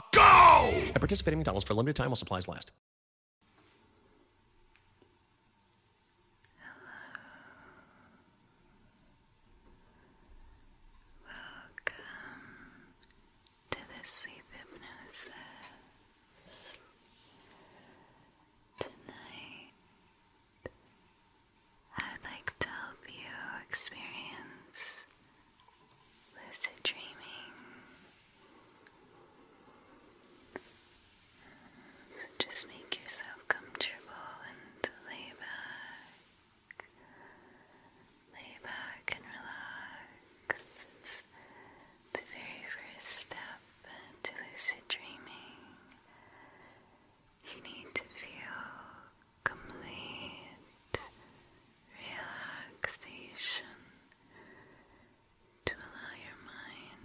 America, go! participate in McDonald's for a limited time while supplies last. Welcome to the sleep hypnosis. Tonight, I'd like to help you experience lucid dreaming. So just make yourself comfortable and lay back. Lay back and relax. the very first step to lucid dreaming. You need to feel complete relaxation to allow your mind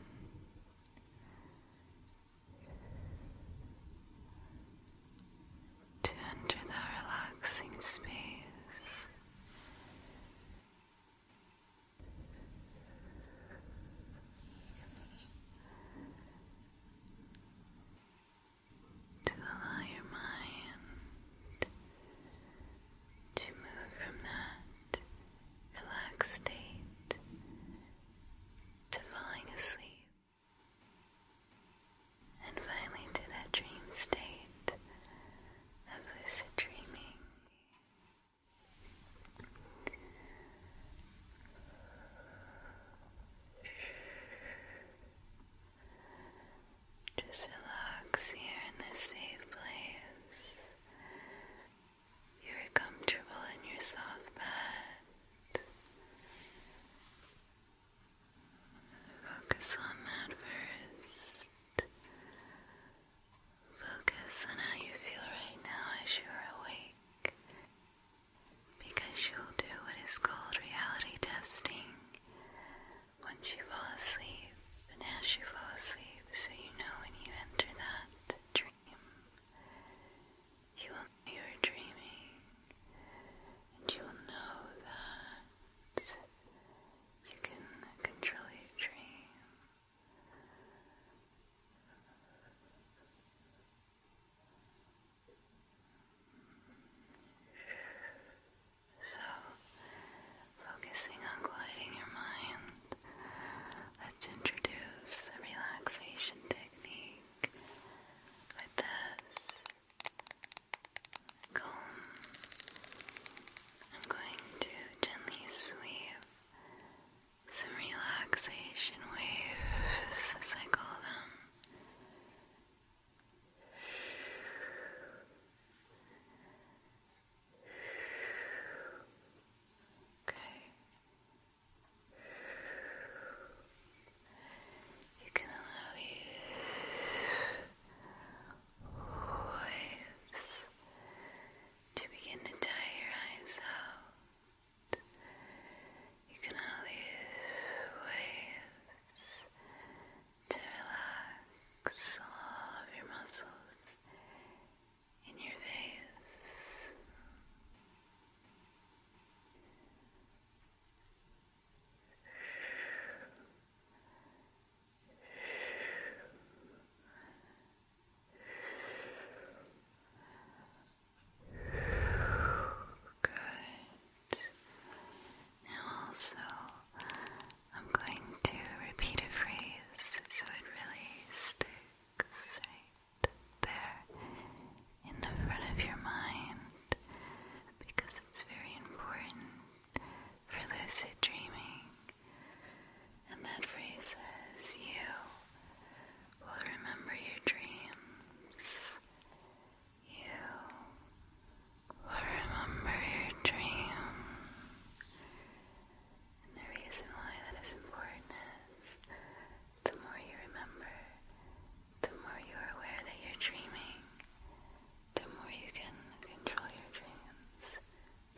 to enter that relaxing space to allow your mind to move from that relaxed state to falling asleep and finally to that dream state of lucid dreaming. Just relax here in this safe place. You're comfortable in your soft bed. Focus on that first. Focus on how you feel right now as you are awake because you'll do what is called reality testing once you fall asleep and as you fall asleep, so you know when you enter that dream, you will know you're dreaming and you will know that you can control your dream. So, focusing on quieting your mind, let's introduce a relaxation technique with this comb. I'm going to gently sweep some relaxation waves, as I call them, Okay. You can allow these waves to begin to dye you can all use waves to relax all of your muscles in your face. Good. Now, also, I'm going to repeat a phrase so it really sticks right there in the front of your mind because it's very important for lucid dreaming. And that phrase says, You will remember your dreams you will remember your dream. And the reason why that is important is the more you remember, the more you're aware that you're dreaming, the more you can control your dreams.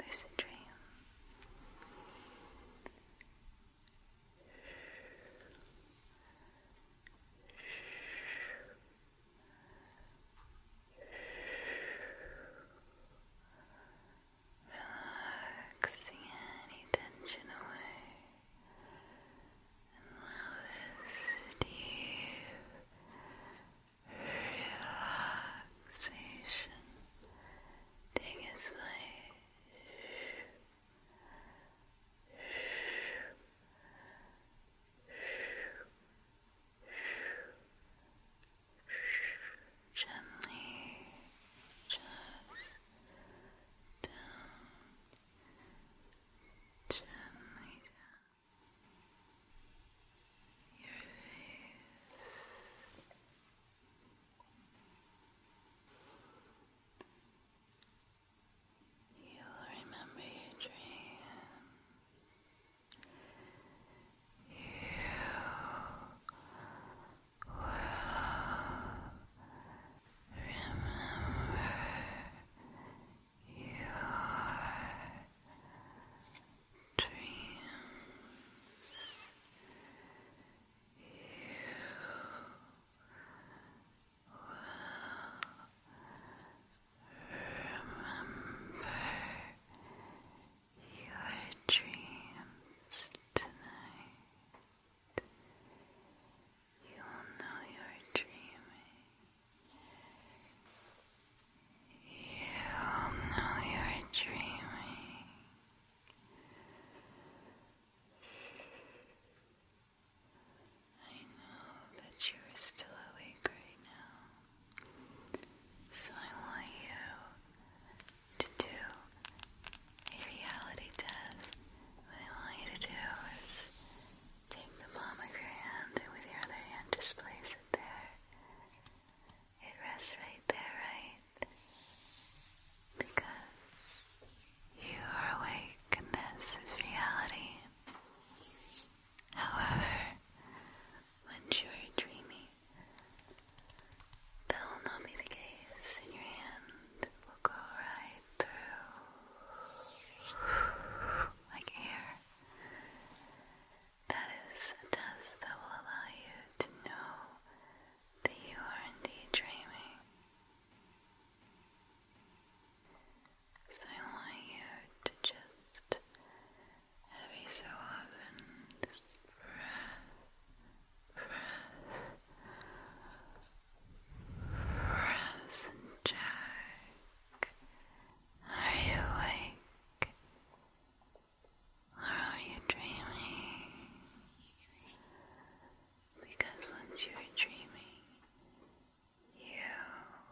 Lucid dream. Relaxing any tension away and allow this deep relaxation take its place. Gently just down, gently down your face. You will remember your dream. You will remember your dreams. You Remember your dreams tonight. You will know you're dreaming. You'll know you're dreaming. I know that you are still awake right now, so I want you to do a reality test. What I want you to do is take the palm of your hand and with your other hand just place it there. It rests right there, right? Because you are awake and this is reality. However, when you are dreamy, that will not be the case, and your hand will go right through like air. That is a test that will allow you to know that you are indeed dreaming. So I want you to just every so often just press, press, press Are you awake? Or are you dreaming? Because once you're dreaming, you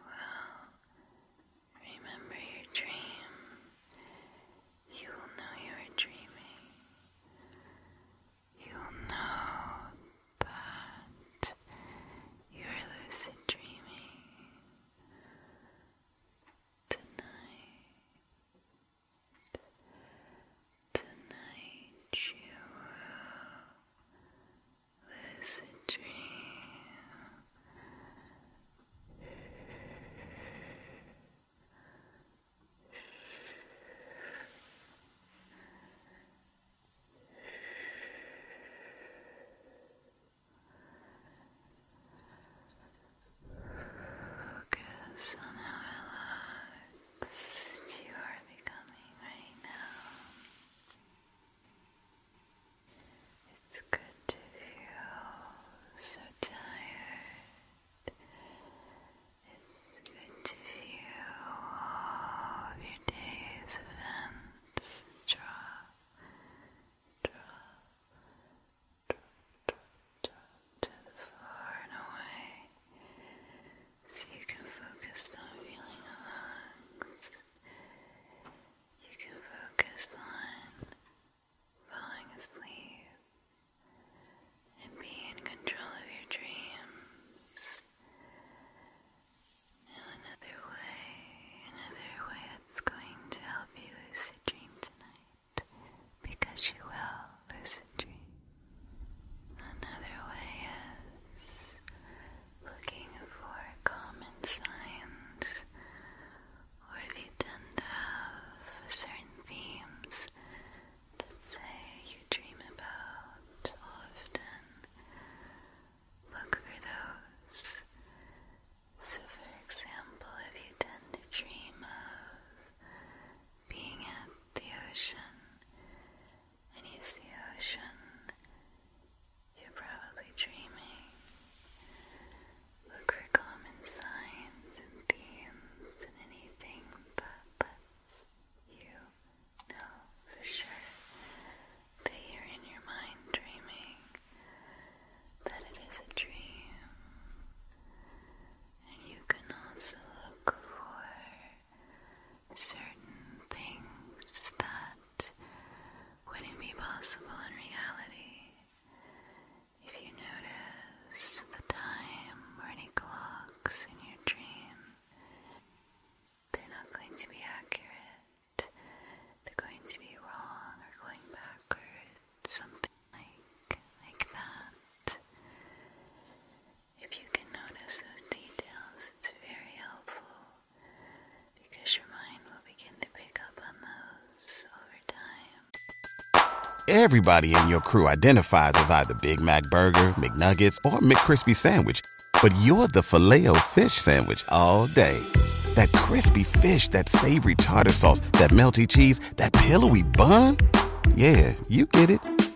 will remember your dream. You will know you are dreaming. You will know that you are lucid dreaming. Tonight, Tonight you will lose a Focus on how that you are becoming right now. It's good to feel so tired. It's good to feel your day's events drop, drop, drop, drop, drop to the floor and away so you can focus on feeling the lungs. You can focus on falling asleep and be in control of your dreams. Now another way, another way that's going to help you lucid dream tonight because you will lucid dream. Another way is looking for common signs, or if you tend to have certain themes that say you dream about often, look for those. So, for example, if you tend to dream of being at the ocean, and you see ocean, you're probably dreaming. Look for common signs and themes and anything that lets you know for sure that you're in your mind dreaming, that it is a dream. And you can also look for certain things that wouldn't be possible in reality. If you notice the time or any clocks in your dream, they're not going to be accurate. They're going to be wrong or going backwards, something like like that. If you can notice those details, it's very helpful because your mind will begin to pick up on those over time. Everybody in your crew identifies as either Big Mac Burger, McNuggets, or McCrispy Sandwich, but you're the filet fish Sandwich all day. That crispy fish, that savory tartar sauce, that melty cheese, that pillowy bun. Yeah, you get it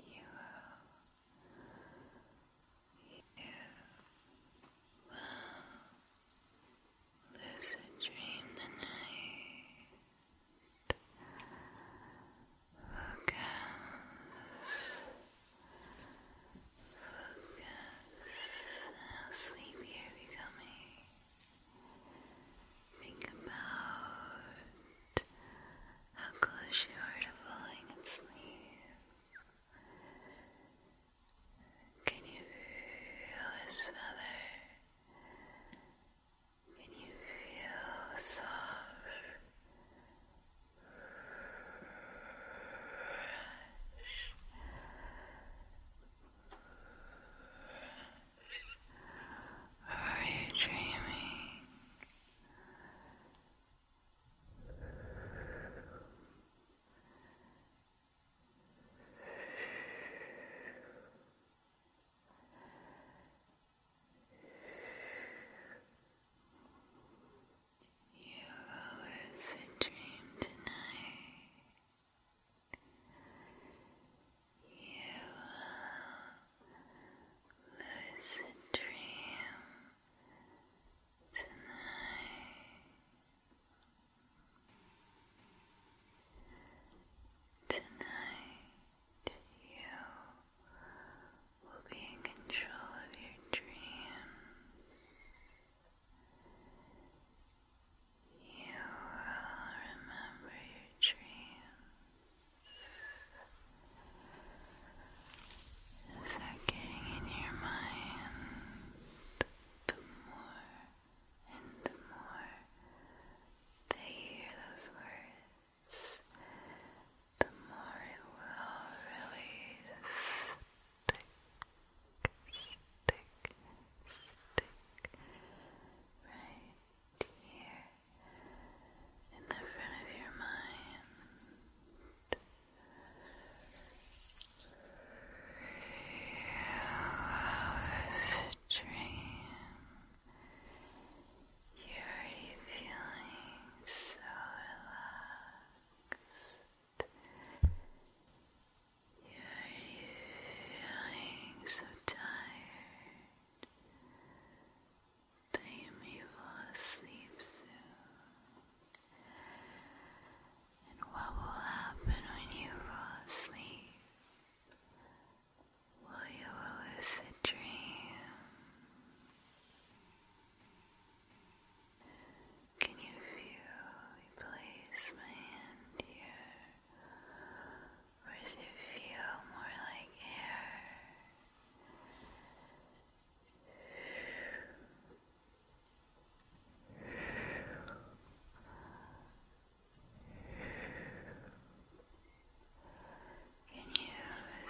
You you will lucid dream tonight. Focus, focus how sleepy becoming. Think about how close you are to falling asleep. Can you feel this feather? Can you feel soft? are you dreaming? You will lose a dream tonight. You will lose a dream. Tonight, tonight, you will be in control of your dreams. You will remember your dreams. Is that getting in your mind? The more and more that you hear those words, the more it will really stick, stick, stick right here in the front of your mind. Wow, a dream. You're feeling so relaxed. You're feeling so tired that you may fall asleep soon. And what will happen when you fall asleep? Will you a lucid dream? Can you feel place my hand here? Or does it feel more like air? Can you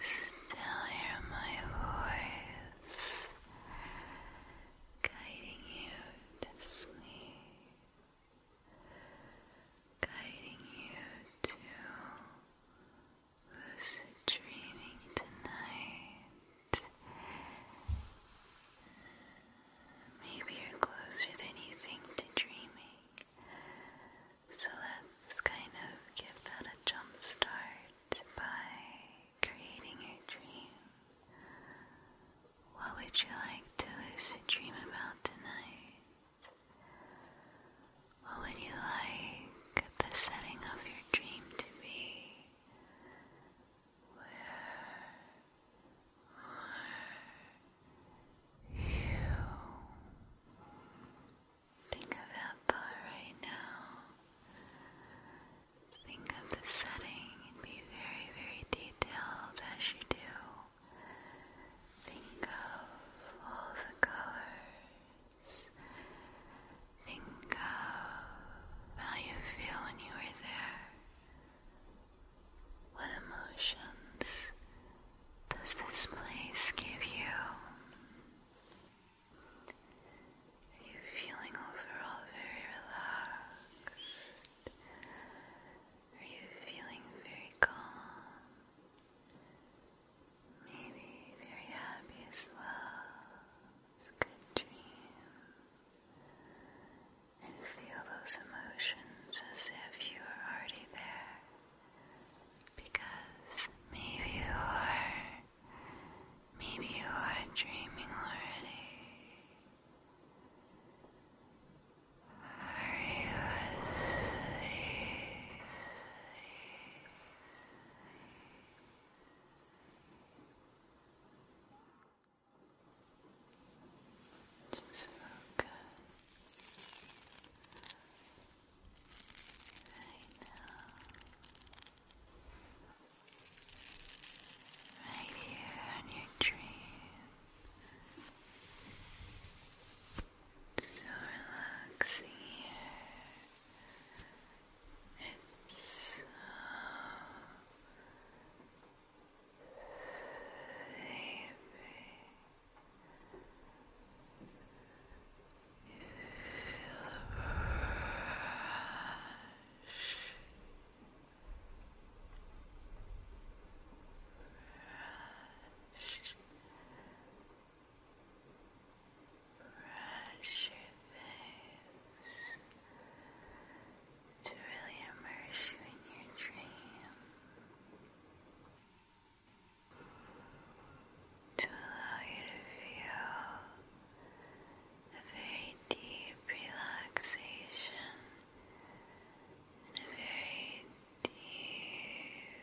still hear my voice guiding you to sleep, guiding you to who's dreaming tonight. Maybe you're closer than you think to dreaming. So let's kind of give that a jump start by creating your dream. What would you like to lucid dream about tonight? What would you like the setting of your dream to be? Where are you? Think of that thought right now. Think of the setting and be very, very detailed as you do. Think of all the colors Think of how you feel when you were there. What emotions does this place give you? Are you feeling overall very relaxed? Are you feeling very calm? Maybe very happy as well. It's a good dream. And feel those emotions as if you are already there. Because maybe you are. Maybe you are dreaming already. Are you just feel right now, right here on your dream. So relaxing here. It's so sleepy. You feel a rush. Rush brush your face to really immerse you in your dream, to allow you to feel a very deep relaxation and a very deep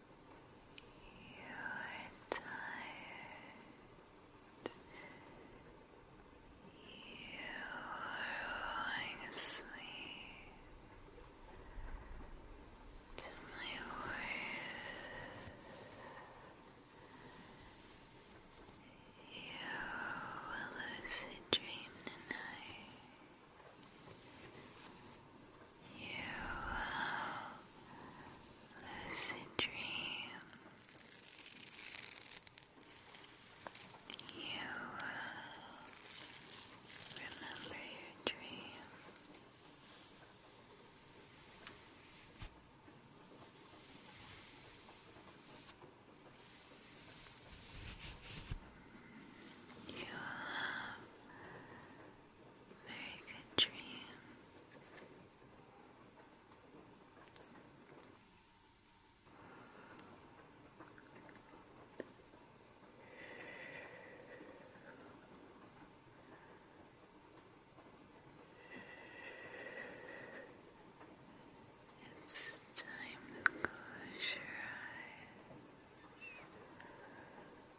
You are tired. You are falling asleep to my words. You will lucid dream tonight you lucid dream. You remember your dream. You very good dream. It's time to close your eyes.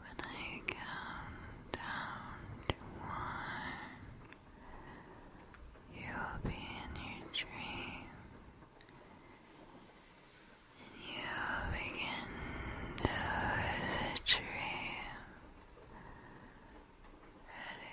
When I count down to one, you'll be in your dream. And you'll begin to dream. Ready?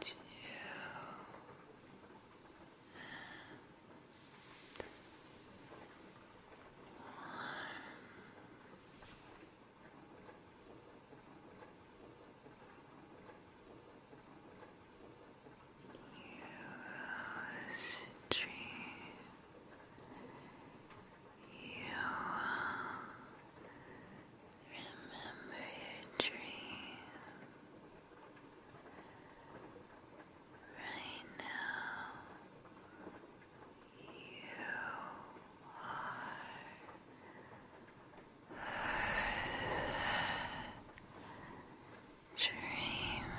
two, one. You dream. You remember your dream. Right now, you are dreaming.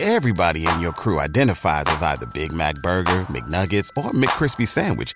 Everybody in your crew identifies as either Big Mac Burger, McNuggets, or McCrispy Sandwich